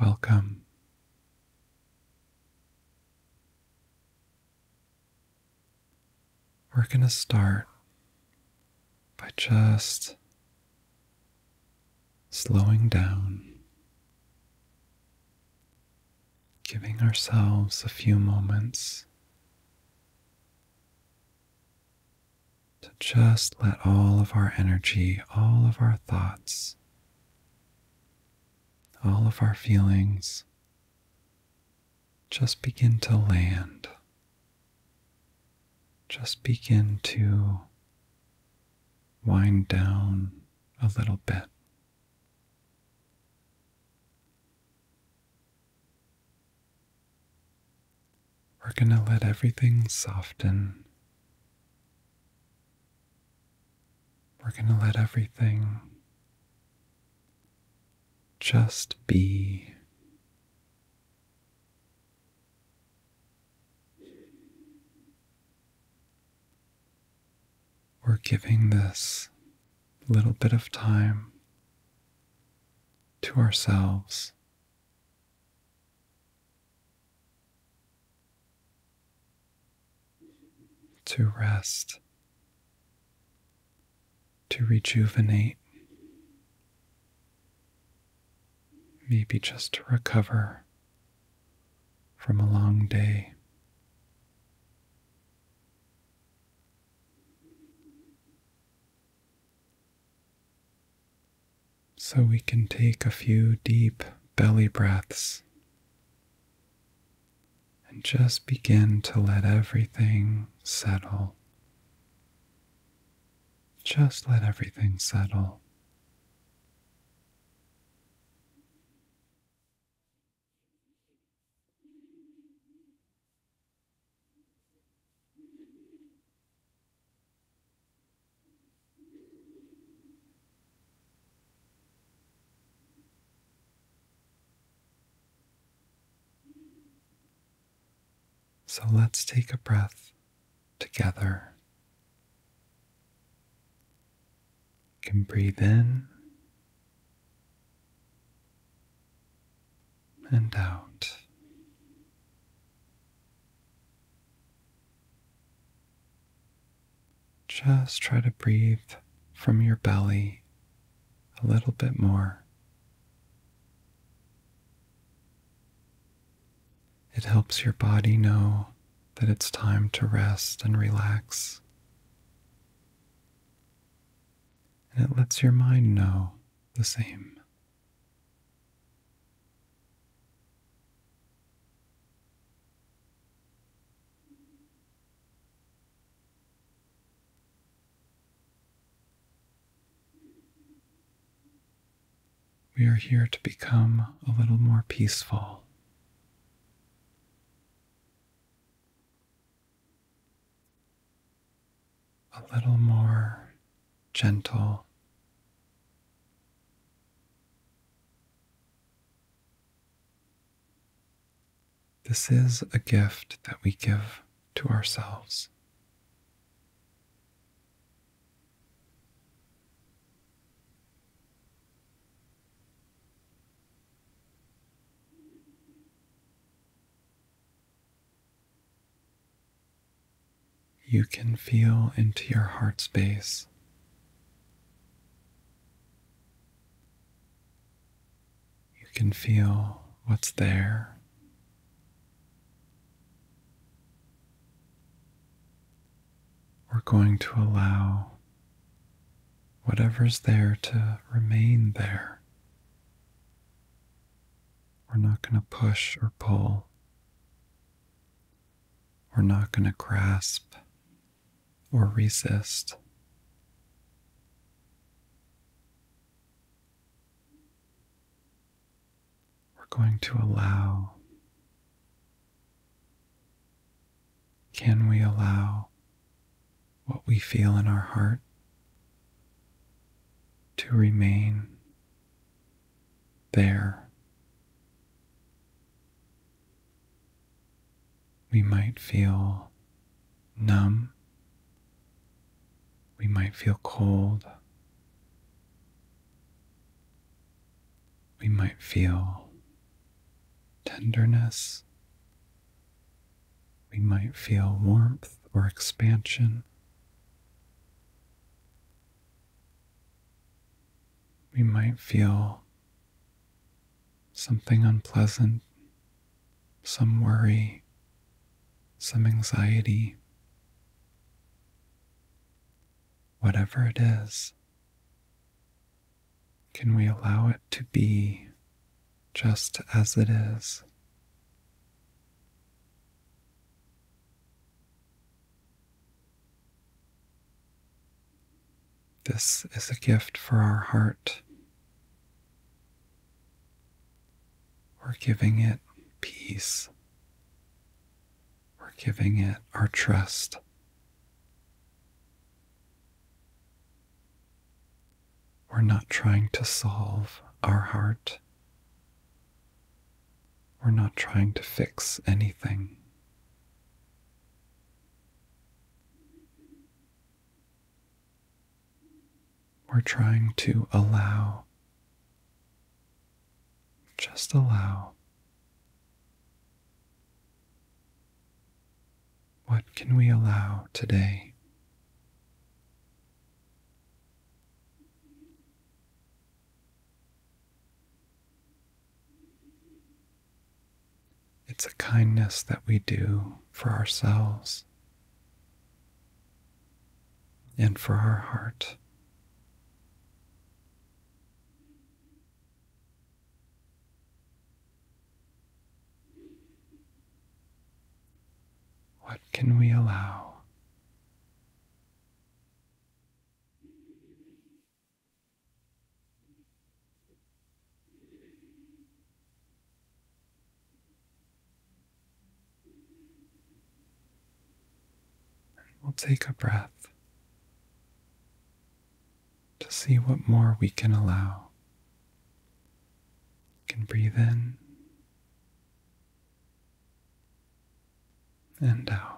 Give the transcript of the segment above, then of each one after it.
Welcome. We're going to start by just slowing down, giving ourselves a few moments to just let all of our energy, all of our thoughts, all of our feelings just begin to land. Just begin to wind down a little bit we're going to let everything soften. We're going to let everything just be. We're giving this little bit of time to ourselves to rest, to rejuvenate, maybe just to recover from a long day. So we can take a few deep belly breaths and just begin to let everything settle. Just let everything settle. So let's take a breath together. You can breathe in and out. Just try to breathe from your belly a little bit more. It helps your body know that it's time to rest and relax. And it lets your mind know the same. We are here to become a little more peaceful. A little more gentle. This is a gift that we give to ourselves you can feel into your heart space. You can feel what's there. We're going to allow whatever's there to remain there. We're not going to push or pull we're not going to grasp or resist. We're going to allow. Can we allow what we feel in our heart to remain there, we might feel numb, we might feel cold, we might feel tenderness, we might feel warmth or expansion we might feel something unpleasant, some worry, some anxiety. Whatever it is, can we allow it to be just as it is? This is a gift for our heart. We're giving it peace. We're giving it our trust. We're not trying to solve our heart. We're not trying to fix anything. We're trying to allow, just allow. What can we allow today? It's a kindness that we do for ourselves and for our heart. What can we allow? We'll take a breath to see what more we can allow. can breathe in and out.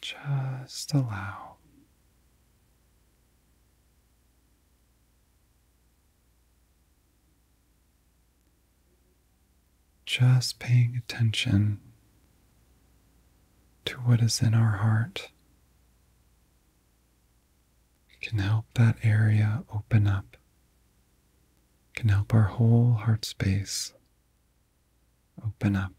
Just allow. Just paying attention to what is in our heart can help that area open up, can help our whole heart space open up.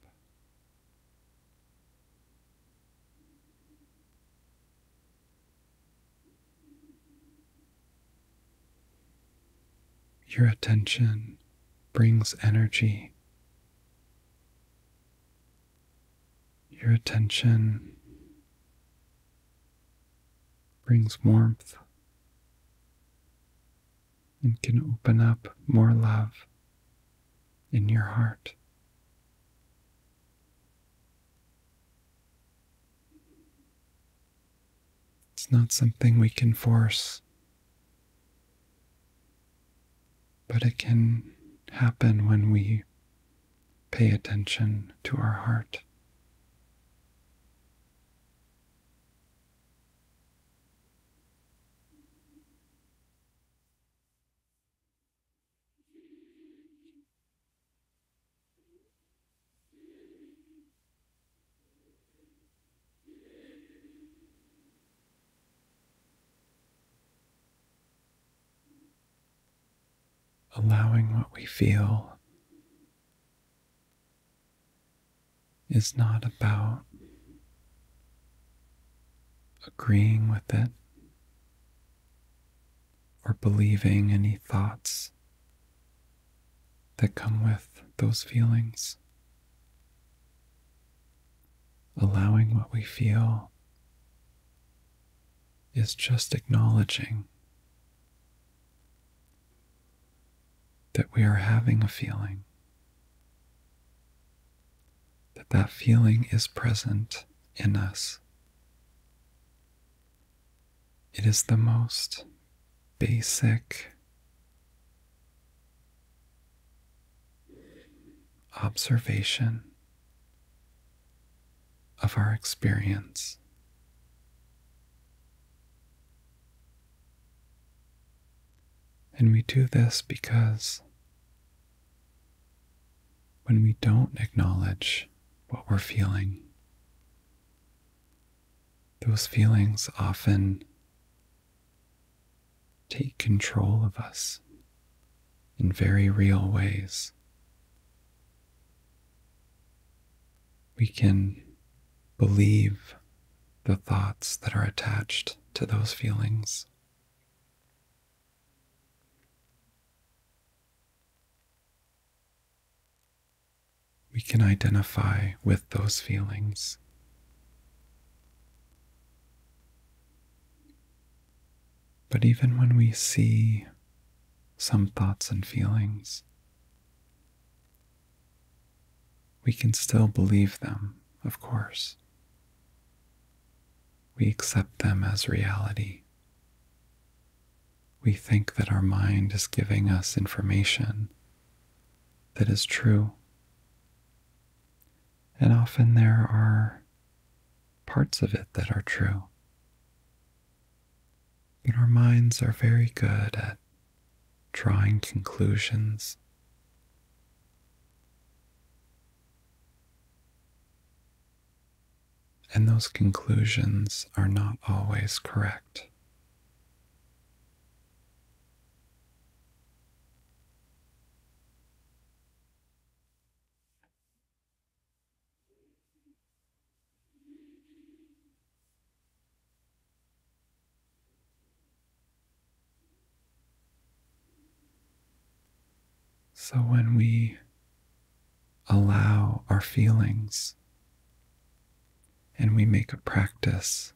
Your attention brings energy. Your attention brings warmth and can open up more love in your heart. It's not something we can force, but it can happen when we pay attention to our heart allowing what we feel is not about agreeing with it or believing any thoughts that come with those feelings. Allowing what we feel is just acknowledging that we are having a feeling, that that feeling is present in us. It is the most basic observation of our experience. And we do this because when we don't acknowledge what we're feeling, those feelings often take control of us in very real ways. We can believe the thoughts that are attached to those feelings. We can identify with those feelings. But even when we see some thoughts and feelings, we can still believe them, of course. We accept them as reality. We think that our mind is giving us information that is true. And often there are parts of it that are true. But our minds are very good at drawing conclusions. And those conclusions are not always correct. So when we allow our feelings and we make a practice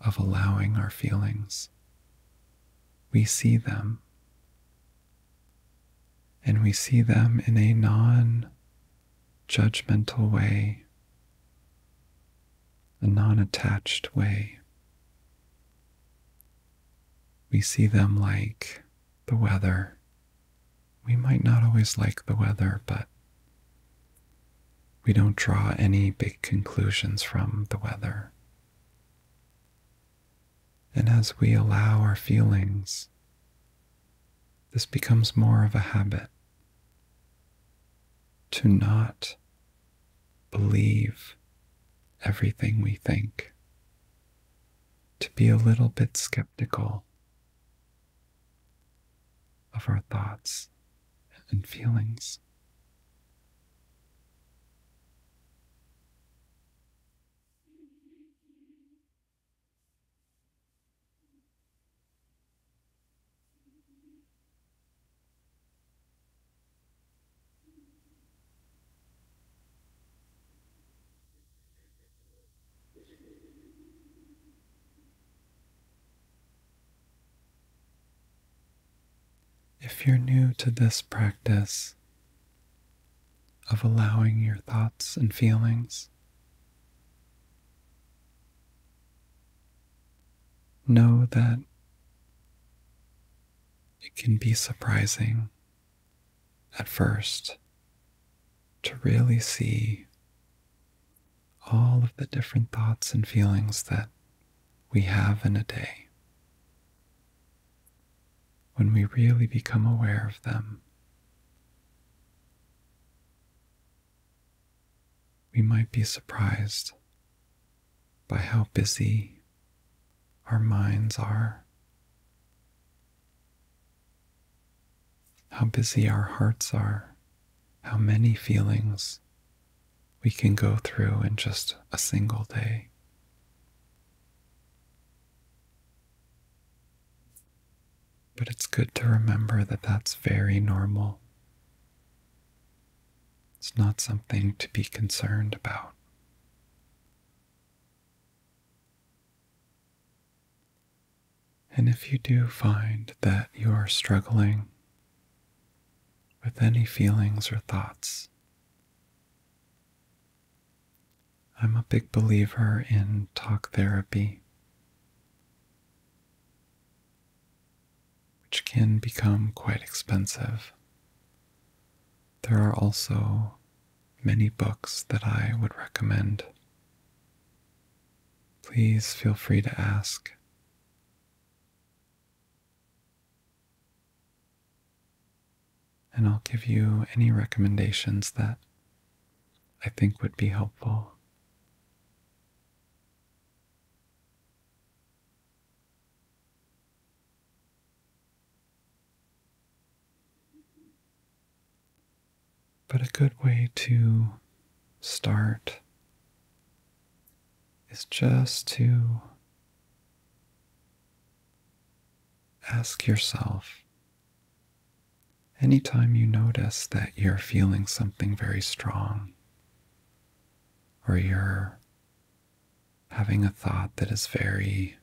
of allowing our feelings, we see them. And we see them in a non judgmental way, a non attached way. We see them like the weather. We might not always like the weather, but we don't draw any big conclusions from the weather. And as we allow our feelings this becomes more of a habit to not believe everything we think, to be a little bit skeptical of our thoughts and feelings. If you're new to this practice of allowing your thoughts and feelings Know that it can be surprising at first to really see all of the different thoughts and feelings that we have in a day. When we really become aware of them, we might be surprised by how busy our minds are, how busy our hearts are, how many feelings we can go through in just a single day. But it's good to remember that that's very normal. It's not something to be concerned about. And if you do find that you are struggling with any feelings or thoughts, I'm a big believer in talk therapy which can become quite expensive. There are also many books that I would recommend. Please feel free to ask. And I'll give you any recommendations that I think would be helpful but a good way to start is just to ask yourself Anytime you notice that you're feeling something very strong, or you're having a thought that is very,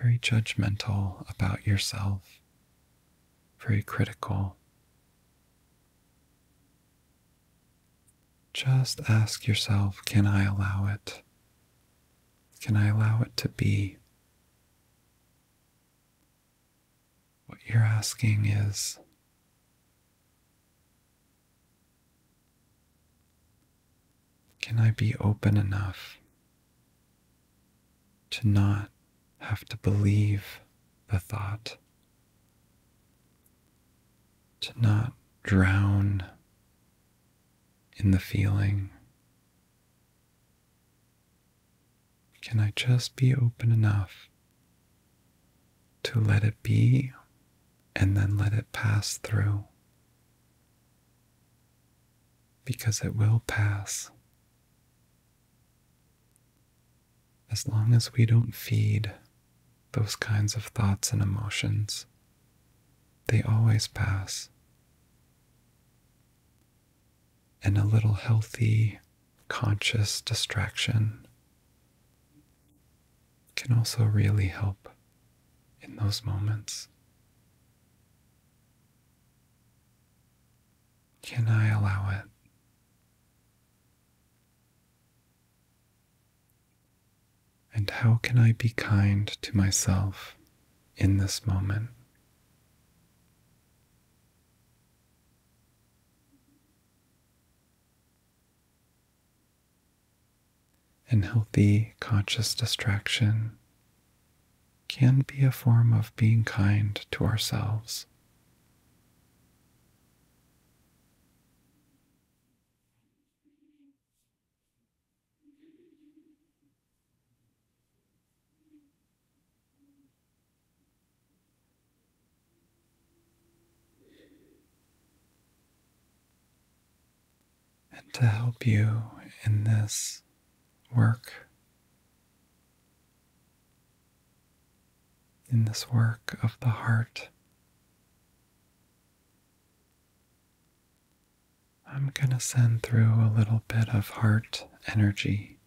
very judgmental about yourself, very critical, just ask yourself can I allow it? Can I allow it to be? What you're asking is Can I be open enough to not have to believe the thought, to not drown in the feeling? Can I just be open enough to let it be and then let it pass through? Because it will pass. As long as we don't feed those kinds of thoughts and emotions, they always pass. And a little healthy conscious distraction can also really help in those moments. Can I allow it? And how can I be kind to myself in this moment? And healthy conscious distraction can be a form of being kind to ourselves. And to help you in this work, in this work of the heart, I'm going to send through a little bit of heart energy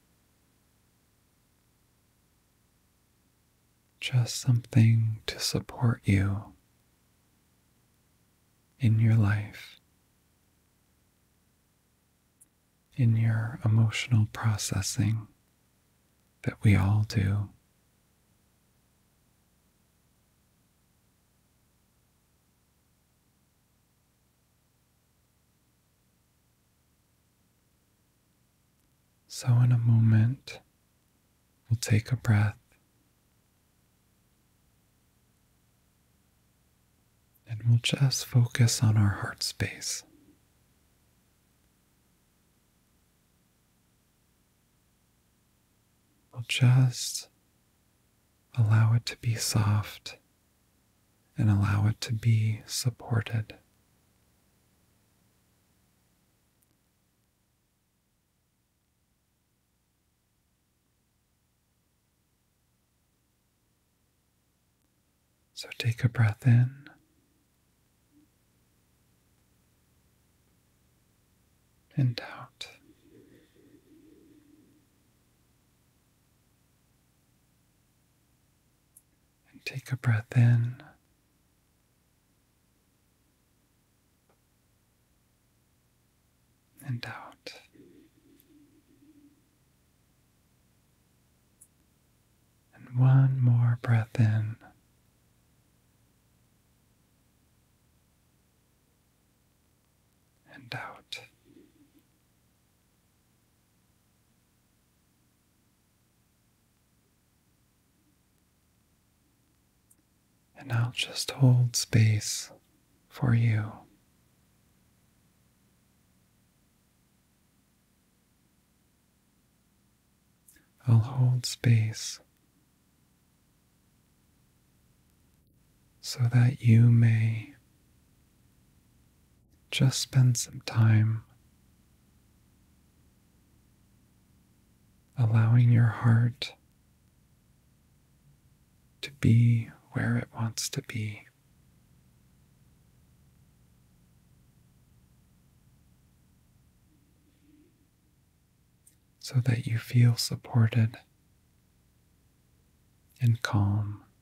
just something to support you in your life, in your emotional processing that we all do. So, in a moment, we'll take a breath and we'll just focus on our heart space. We'll just allow it to be soft and allow it to be supported. So take a breath in. And out and take a breath in. And out. And one more breath in. And out. And I'll just hold space for you. I'll hold space so that you may just spend some time allowing your heart to be where it wants to be. So that you feel supported and calm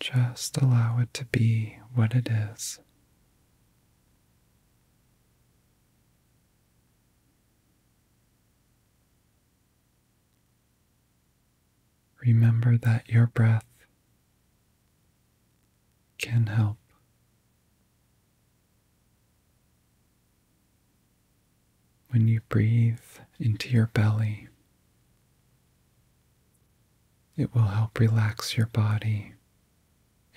Just allow it to be what it is. Remember that your breath can help when you breathe into your belly. It will help relax your body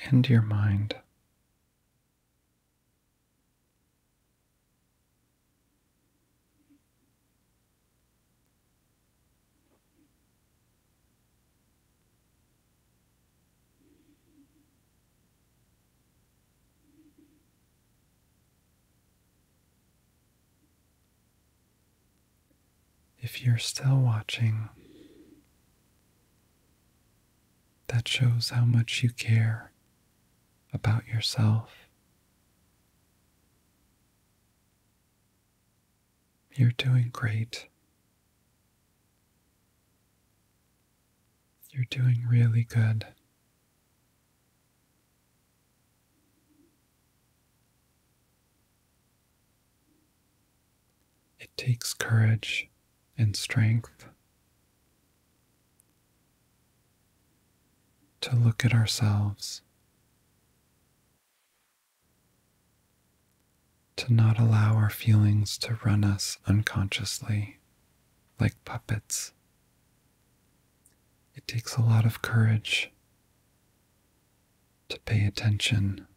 and your mind. If you're still watching, that shows how much you care about yourself. You're doing great. You're doing really good. It takes courage and strength to look at ourselves, to not allow our feelings to run us unconsciously like puppets. It takes a lot of courage to pay attention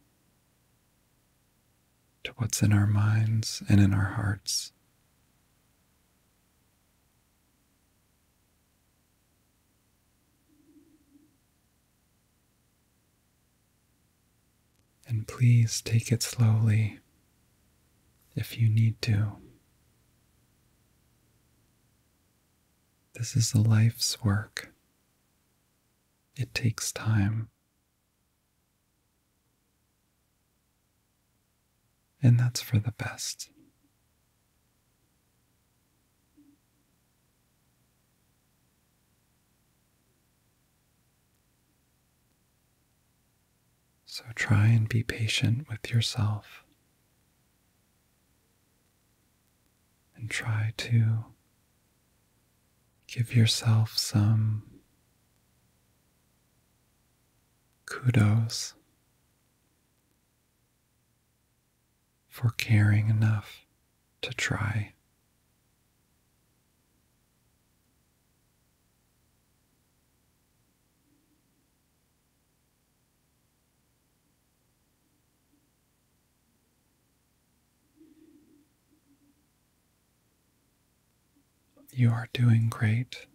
to what's in our minds and in our hearts. And please take it slowly if you need to. This is a life's work. It takes time. And that's for the best. So try and be patient with yourself and try to give yourself some kudos for caring enough to try. You are doing great.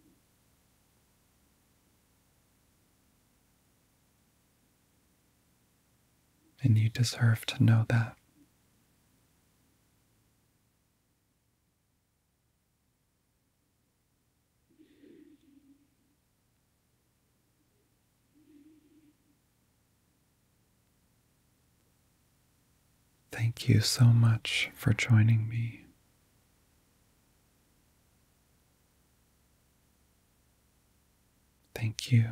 And you deserve to know that. Thank you so much for joining me. Thank you.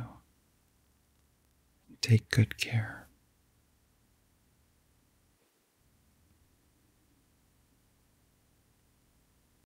Take good care.